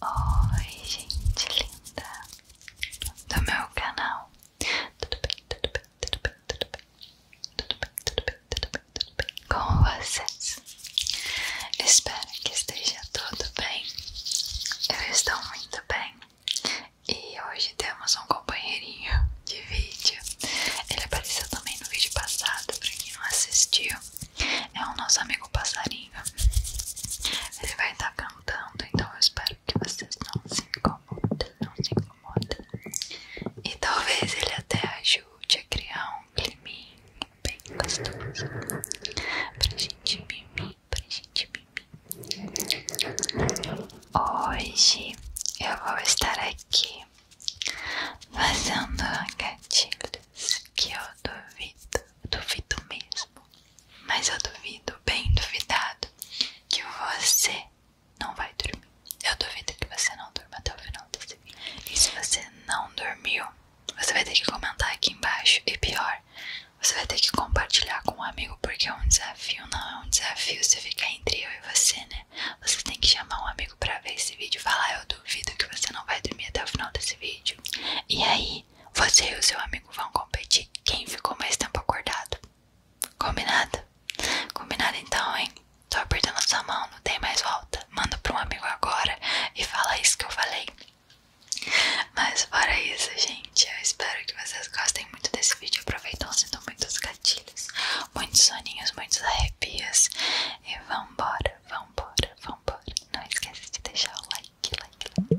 Oi gente linda do meu canal Tudo bem, tudo bem, tudo bem, tudo bem Tudo bem, tudo bem, tudo bem, tudo bem Com vocês Espero que esteja tudo bem Eu estou muito bem E hoje temos um companheirinho de vídeo Ele apareceu também no vídeo passado Pra quem não assistiu é o nosso amigo passarinho. Ele vai estar tá cantando, então eu espero que vocês não se incomodem, não se incomodem. E talvez ele até ajude a criar um clima bem gostoso para gente mimir, pra gente mimir. Hoje eu vou estar aqui fazendo gatilhos que eu duvido eu duvido mesmo, mas eu duvido, bem duvidado, que você não vai dormir. Eu duvido que você não durma até o final desse vídeo. E se você não dormiu, você vai ter que comentar aqui embaixo. E pior, você vai ter que compartilhar com um amigo, porque é um desafio, não é um desafio se ficar entre eu e você, né? Você tem que chamar um amigo pra ver esse vídeo e falar: eu duvido que você não vai dormir até o final desse vídeo. E aí, você e o seu amigo vão competir quem ficou mais tempo acordado. Combinado? Combinado então, hein? Tô apertando sua mão, não tem mais volta. Manda pra um amigo agora e fala isso que eu falei. Mas fora isso, gente, eu espero que vocês gostem muito desse vídeo. Aproveitam, sentam muitos gatilhos, muitos soninhos, muitos arrepios. E vambora, vambora, vambora. Não esqueça de deixar o like, like, like.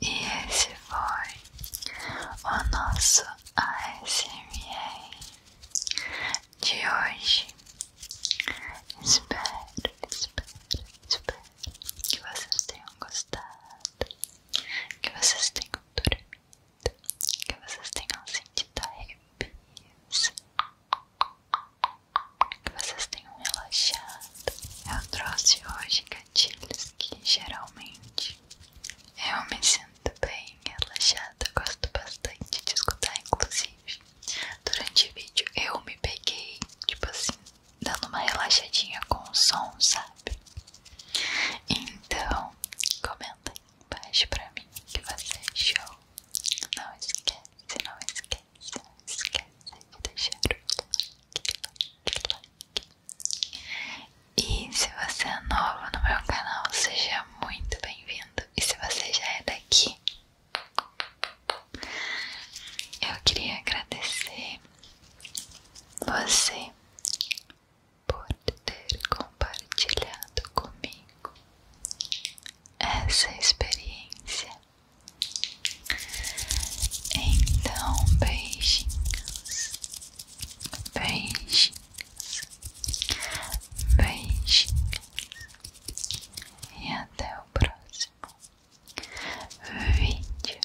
E esse foi o nosso ASMR de hoje. Espero, espero, espero que vocês tenham gostado, que vocês tenham dormido, que vocês tenham sentido arrepios, que vocês tenham relaxado. Eu é trouxe hoje gatilhos que geralmente eu me sinto bem relaxada nada, gosto bastante de escutar, inclusive. Durante o vídeo eu me peguei, tipo assim, dando uma relaxadinha com o som, sabe? Então, comenta aí embaixo pra mim o que você achou. É não esquece, não esquece, não esquece de deixar o like, E se você é novo no meu canal, seja muito bem-vindo. E se você já é daqui, eu queria agradecer você por ter compartilhado comigo essa experiência. Então, beijinhos, beijinhos. Beijinhos e até o próximo vídeo.